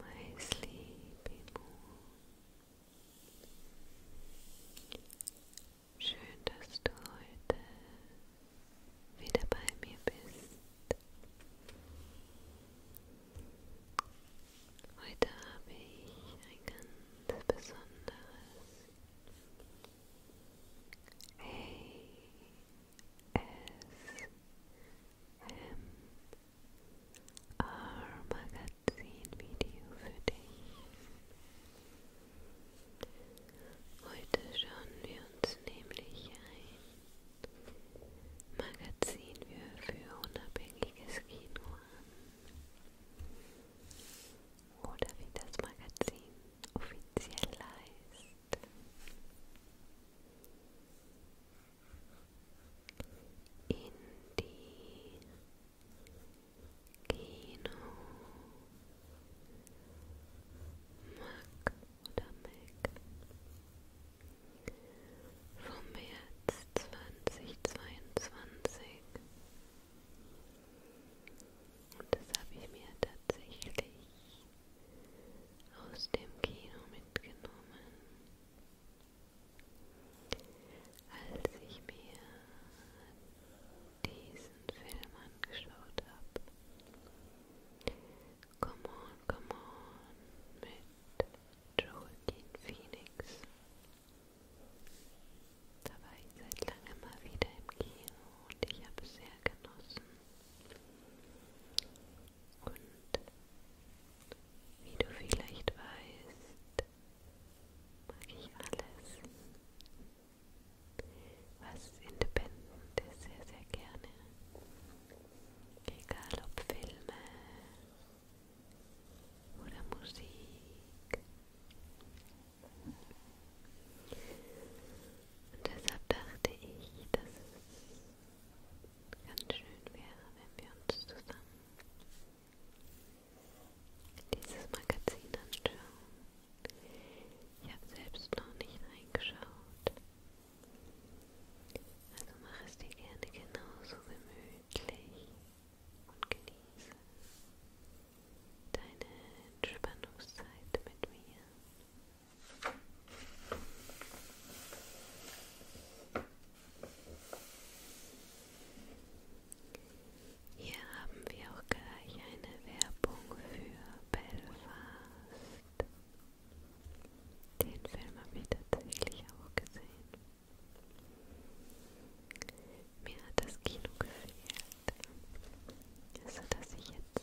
my sleepy moon. Schön, dass du heute wieder bei mir bist. Heute habe ich ein ganz besonderes ASMR MR-Magazin-Video für dich. Heute schauen wir uns nämlich ein Magazin für unabhängiges Kino an. Oder wie das Magazin offiziell heißt in die Kino Mac oder Mac vom März 2022 und das habe ich mir tatsächlich aus dem Kino mitgenommen, als ich mir diesen Film angeschaut habe. Come on, come on mit Joaquin Phoenix. Da war ich seit langem mal wieder im Kino und ich habe es sehr genossen. Und wie du vielleicht weißt, mag ich alles, was independent ist, sehr, sehr gerne. Egal ob Filme oder Musik. Und deshalb dachte ich, dass es ganz schön wäre, wenn wir uns zusammen dieses Magazin anschauen. Ich habe selbst noch nicht reingeschaut. Also mach es dir gerne genauso gemütlich und genieße deine Entspannungszeit mit mir. Hier haben wir auch gleich eine Werbung für Belfast. Den Film habe ich tatsächlich auch gesehen. Mir hat das Kino gefehlt. Also dass ich jetzt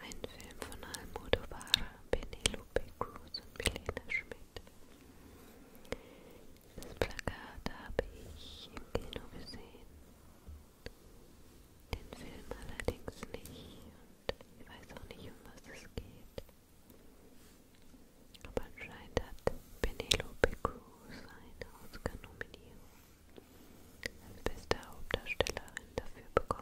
Ein Film von Almodovar, Penelope Cruz und Milena Schmidt. Das Plakat habe ich im Kino gesehen, den Film allerdings nicht und ich weiß auch nicht, um was es geht. Aber anscheinend hat Penelope Cruz eine Oscar-Nominierung beste Hauptdarstellerin dafür bekommen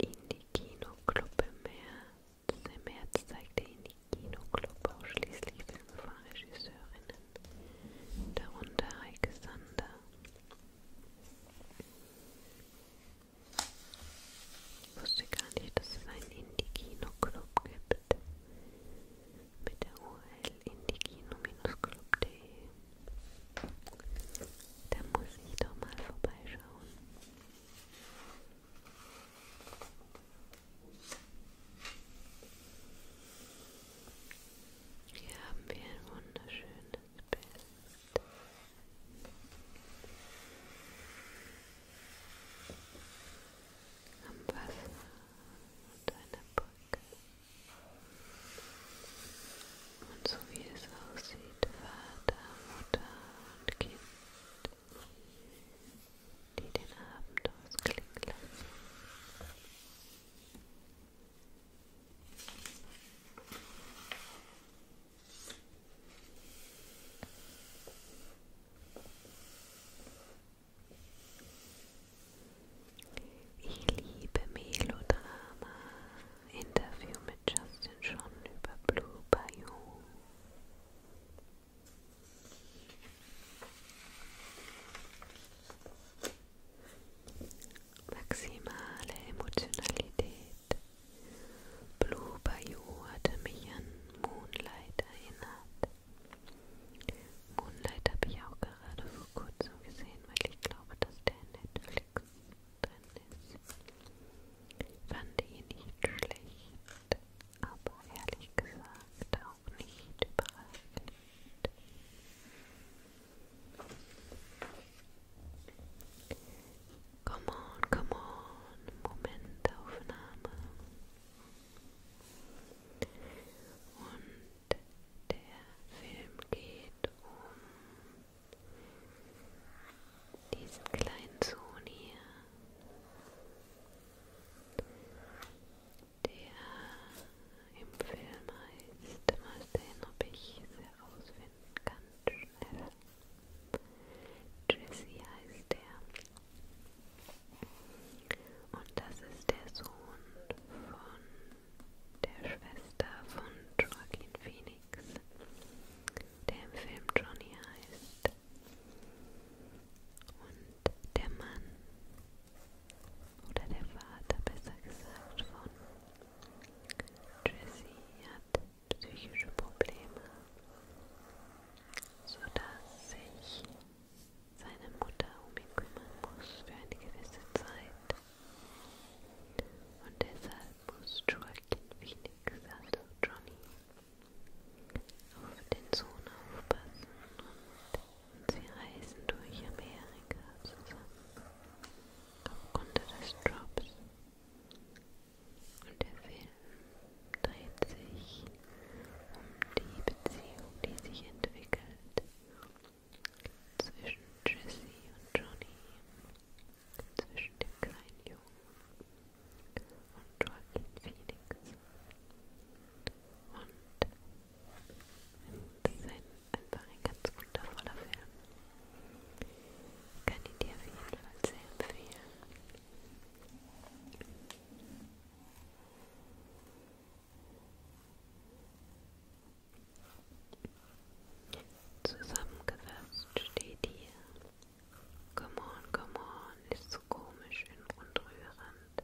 in die Kinoclub im März. Im März zeigte ihn die Kinoclub ausschließlich Filme von Regisseurinnen, darunter Heike Sander. Ich wusste gar nicht, dass es einen Indie-Kino-Club gibt. Mit der URL indiekino-club.de da muss ich doch mal vorbeischauen. Hier haben wir ein wunderschönes Bild. Am Wasser und einer Brücke. Und so wie es aussieht, Vater, Mutter und Kind, die den Abend ausklingen lassen. Und ich liebe Melodrama. Interview mit Justin John über Blue Bayou. Maximale Emotionalität. Blue Bayou hatte mich an Moonlight erinnert. Moonlight habe ich auch gerade vor kurzem gesehen sehen, weil ich glaube, dass der Netflix drin ist. Fand ihn nicht schlecht, aber ehrlich gesagt auch nicht überraschend. Come on, come on, Momentaufnahme. Und der Film geht um diesen kleinen Sohn hier, der im Film heißt, mal sehen, ob ich es herausfinden kann, schnell. Jesse heißt der. Und das ist der Sohn von der Schwester von Joaquin Phoenix, der im Film Johnny heißt. Und der Mann oder der Vater besser gesagt von Jessie hat psychische Probleme, sodass sich seine Mutter um ihn kümmern muss für eine gewisse Zeit. Und deshalb muss Joaquin Phoenix, also Johnny, auf den Sohn aufpassen und sie reisen durch Amerika zusammen aufgrund des Jobs. Und der Film dreht sich um die Beziehung, die sich entwickelt zwischen Jessie und Johnny, zwischen dem kleinen Jungen und Joaquin Phoenix und es ist ein, einfach ein ganz wundervoller Film. Kann ich dir auf jeden Fall sehr empfehlen. Zusammengefasst steht hier: Come on, come on, ist so komisch und rührend,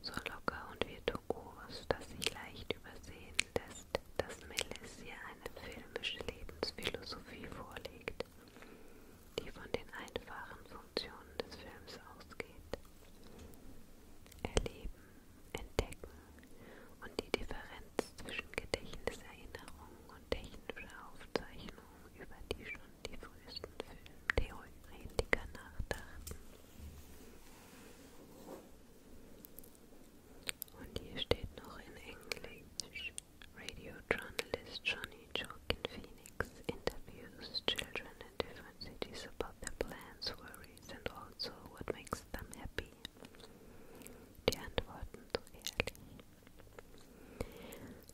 so locker und virtuos, dass sich leicht übersehen lässt, dass Melis hier eine filmische Lebensphilosophie vorlegt, die von den einfachen Funktionen des Films ausgeht. Erleben, entdecken und die Differenz zwischen Gedächtniserinnerung und technischer Aufzeichnung, über die schon die frühesten Filmtheoretiker nachdachten. Und hier steht noch in Englisch Radio Journalist Johnny Joaquin Phoenix interviews children in different cities about their plans for stories and also what makes them happy? Die Antworten so ehrlich.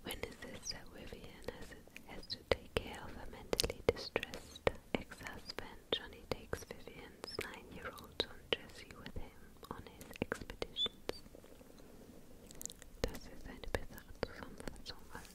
When his sister Vivian has, to take care of a mentally distressed ex-husband, Johnny takes Vivian's nine-year-old son Jesse with him on his expeditions. Das ist eine bessere Zusammenfassung als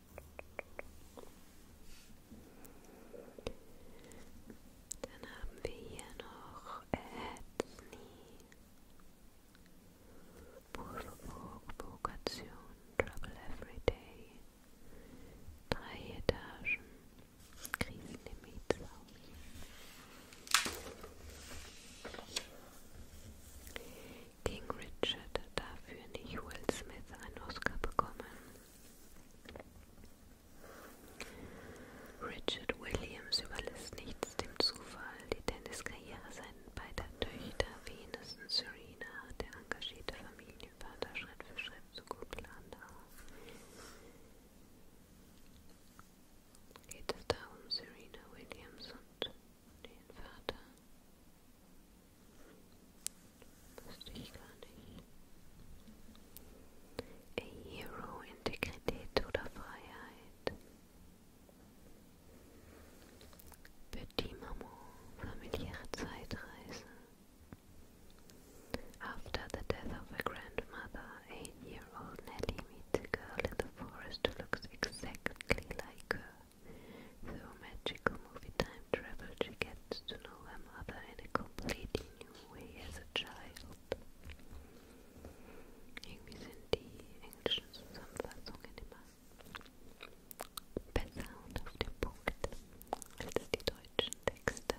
Dann haben wir hier noch Ethnie, Pulverburg, Provokation, Trouble Everyday, drei Etagen, Krisen im King Richard hat dafür nicht Will Smith einen Oscar bekommen. Richard Williams überlässt nichts dem Zufall. Die Tenniskarriere seiner beider Töchter, Venus und Serena, hat der engagierte Familienvater Schritt für Schritt zu gut planen. Geht es da um Serena Williams und den Vater? Das ich gar nicht. Hero, Integrität oder Freiheit. Petit Maman, familiäre Zeitreise. After the death of her grandmother, eight-year-old Nelly meets a girl in the forest who looks exactly like her. Through magical movie time travel, she gets to know her mother in a completely new way as a child. Irgendwie sind die englischen Zusammenfassungen immer besser und auf den Punkt als die deutschen Texte.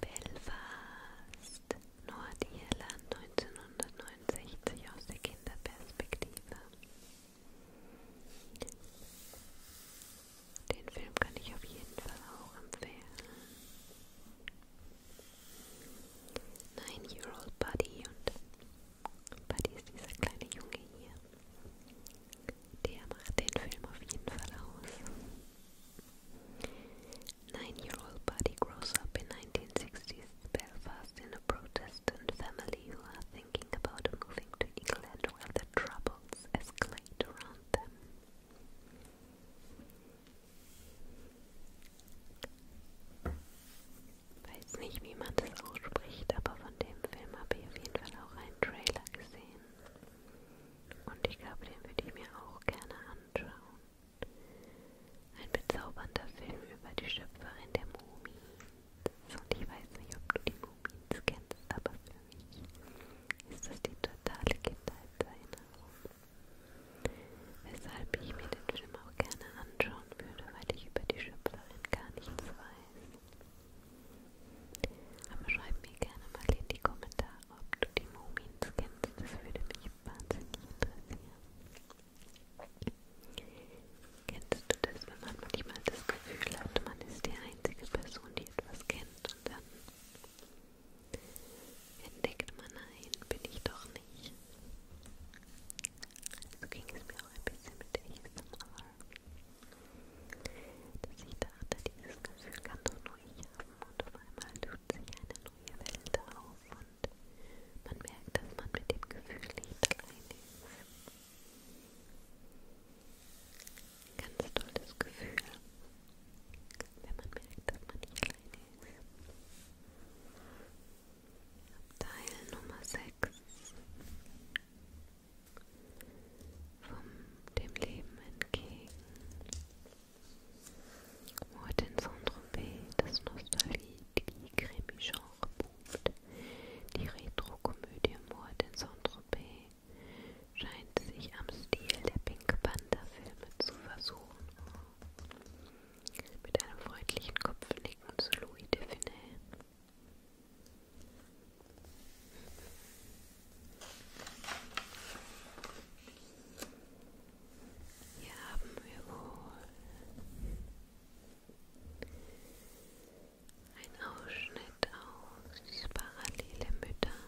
Belfast, Nordirland 1969 aus der Kinderperspektive. Den Film kann ich auf jeden Fall auch empfehlen. Nine Year Old Buddy und Buddy ist dieser kleine Junge hier. Der macht den Film auf jeden Fall aus. Nine-year-old Buddy grows up in 1960s Belfast in a Protestant family who are thinking about moving to England while the troubles escalate around them. Weiß nicht, wie man das ausspricht, aber von dem Film habe ich auf jeden Fall auch einen Und ich glaube, den würde ich mir auch gerne anschauen. Ein bezaubernder Film über die Schöpferin der Mumie. Und ich weiß nicht, ob du die Mumien kennst, aber für mich ist das die totale Kindheitserinnerung. Weshalb ich mir den Film auch gerne anschauen würde, weil ich über die Schöpferin gar nichts weiß. Aber schreib mir gerne mal in die Kommentare, ob du die Mumins kennst, das würde mich wahnsinnig interessieren. Kennst du das, wenn man manchmal das Gefühl hat, man ist die einzige Person, die etwas kennt und dann entdeckt man, nein, bin ich doch nicht. So ging es mir auch ein bisschen mit ASMR. Dass ich dachte, dieses Gefühl kann doch nur ich haben und auf einmal tut sich eine neue Welt auf und man merkt, dass man mit dem Gefühl nicht allein ist. Ganz tolles Gefühl, wenn man merkt, dass man nicht alleine ist. Teil Nummer 6 vom, dem Leben entgegen. Heute in Saint-Tropez das Nostalgie-Krimi-Genre boomt. Die Retro-Komödie Mord in Saint-Tropez scheint sich am Stil der Pink Panther-Filme zu versuchen. Mit einem freundlichen Kopfnicken zu Louis de Funès. Hier haben wir wohl ein Ausschnitt aus parallele Mütter.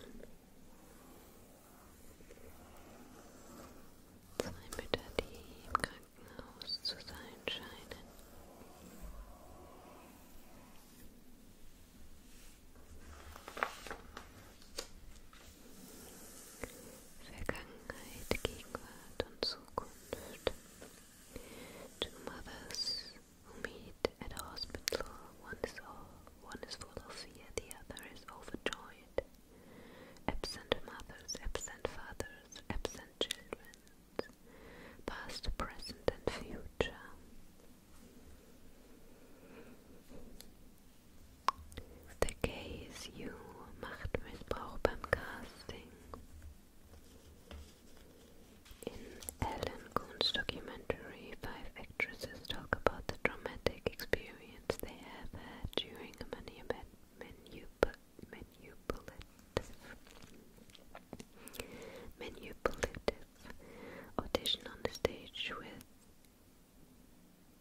Zwei Mütter, die im Krankenhaus zu sein scheinen. Vergangenheit, Gegenwart und Zukunft. Two mothers who meet at a hospital, one is all, one is full of fear, the other is overjoyed. Absent mothers, absent fathers, absent children, past, present, and future. The KSU macht Missbrauch beim In Ellen Kuhn's documentary, five actresses talk about the dramatic experience they have had during a manu manipulative, manipulative Audition on the stage with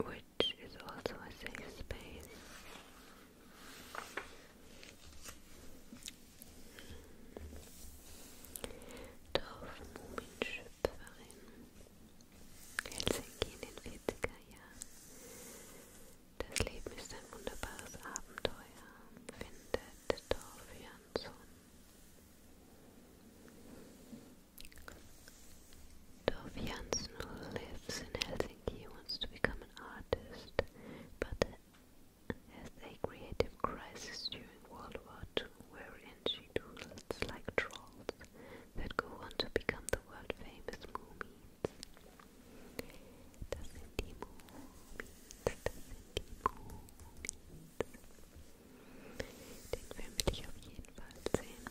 which is also a safe space. Dorf Mumienschöpferin Helsinki in den 40er Jahren. Das Leben ist ein wunderbares Abenteuer, findet Tove lives in Helsinki, wants to become an artist, but has a creative crisis during World War II, wherein she doodles like trolls that go on to become the world-famous Moomeens. Den Film will ich auf jeden Fall sehen.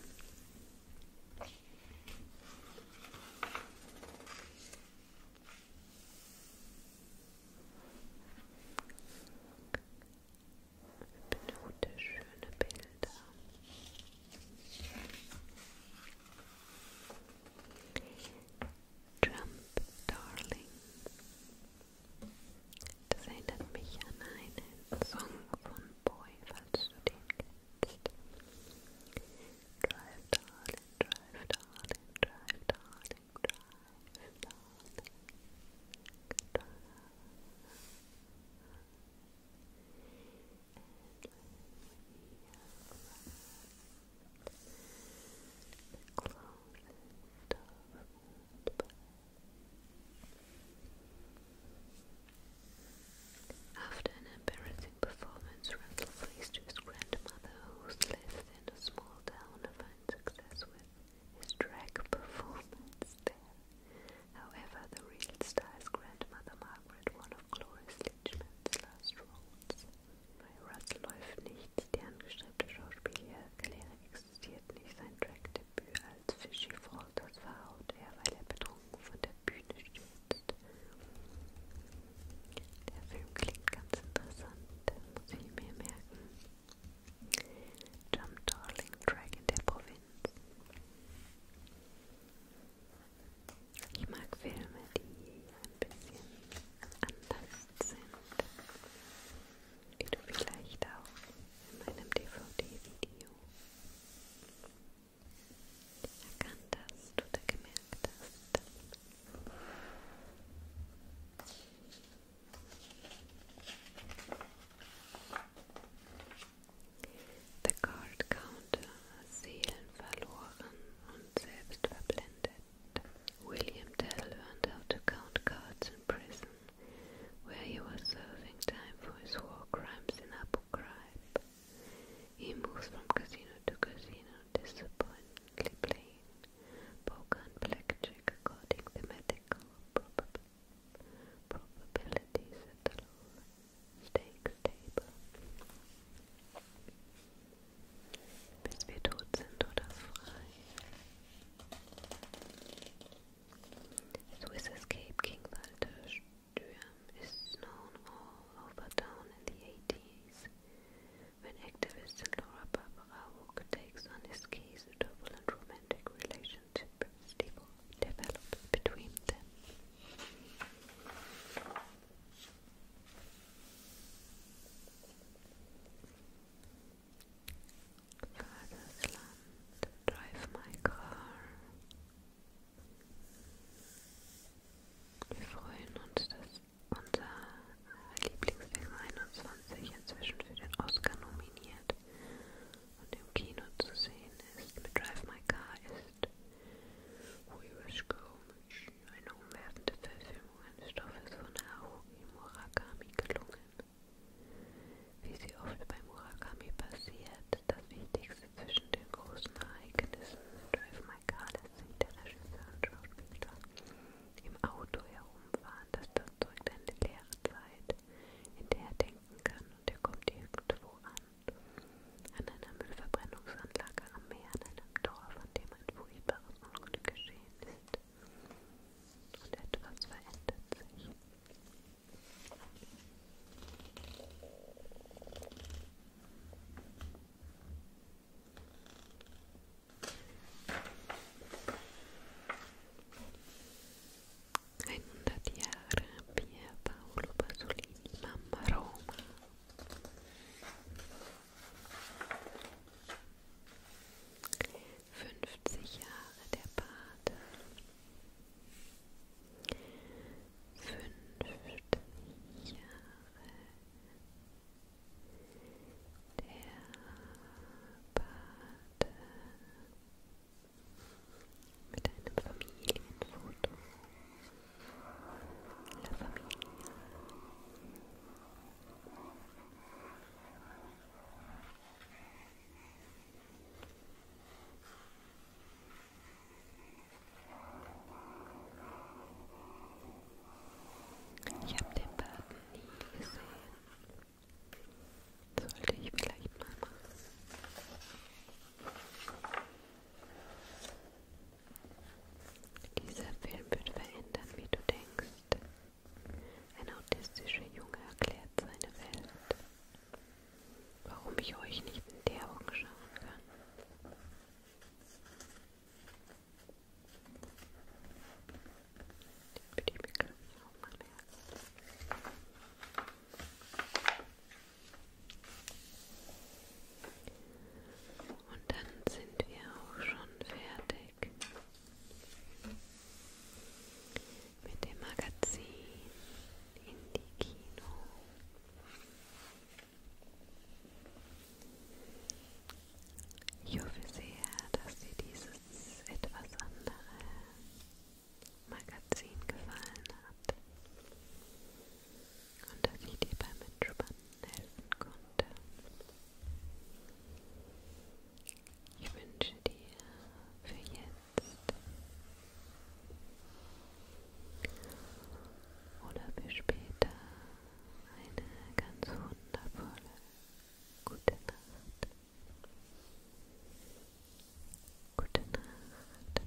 Benute schöne Bilder. Jump, darling. Das erinnert mich an einen Song von Boy, falls du den kennst. Drive, darling, drive, darling, drive, darling, drive, darling. Drive. And when we arrive, closest After an embarrassing performance, Randall flees his grandmother, who lives in a small town, to find success with his drag performance there. However, the real star's grandmother, Margaret, one of Gloria Leachman's last roles, Bei Russ läuft nichts, die angestrebte Schauspielerkarriere existiert nicht. Sein Trackdebüt als Fishy Falters verhaut er, weil er betrunken von der Bühne stürzt. Der Film klingt ganz interessant, das muss ich mir merken. Jump Darling Track in der Provinz. Ich mag Filme, die bisschen anders sind, wie du vielleicht auch in meinem DVD-Video erkannt hast oder gemerkt hast. Der Gold Counter, Seelen verloren und selbst verblendet. William Tell learned how to count cards in prison, where he was serving time for his war crimes in Abu Ghraib. He moves from casino to casino, disappointingly playing poker blackjack according to mathematical probab probabilities at the low table bis wir tot sind Escape King Walter Sturm is known all over town in the 80s when activist and Laura Barbara Wook takes on his case a turbulent romantic relationship developed between them. Furthest land, drive my car. Wir freuen uns, dass unser Lieblingsfilm 21 inzwischen für den Oscar nominiert und im Kino zu sehen ist. Mit Drive My Car ist We Wish Go eine umwerfende Verfilmung eines Stoffes von Haruki Murakami gelungen. Wie sie oft bei Murakami passiert, das Wichtigste zwischen den großen Ereignissen Drive My Car lässt sich der Regisseur und Schauspieler im Auto herumfahren, das erzeugt eine leere Zeit, in der er denken kann und er kommt irgendwo an. An einer Müllverbrennungsanlage am Meer, an einem Dorf, an dem um ein furchtbares Unglück geschehen ist. Und etwas verändert sich. Einhundert Jahre Pier Paolo Pasolini, Mamma Roma. Fünfzig Jahre der Pate. Fünfzig Jahre der Pate. Mit einem Familienfoto. La Familia. Ich habe den Baden nie gesehen. Sollte ich vielleicht mal machen. Dieser Film wird verändern, wie du denkst. Ein autistischer Junge erklärt seine Welt. Warum ich euch nicht in die Augen schauen kann. Den würde ich mir, glaube ich, auch mal merken. Und dann sind wir auch schon fertig mit dem Magazin Indie-Kino. Ich hoffe sehr, dass dir dieses etwas andere Magazin gefallen hat und dass ich dir beim Entspannen helfen konnte. Ich wünsche dir für jetzt oder für später eine ganz wundervolle gute Nacht. Gute Nacht.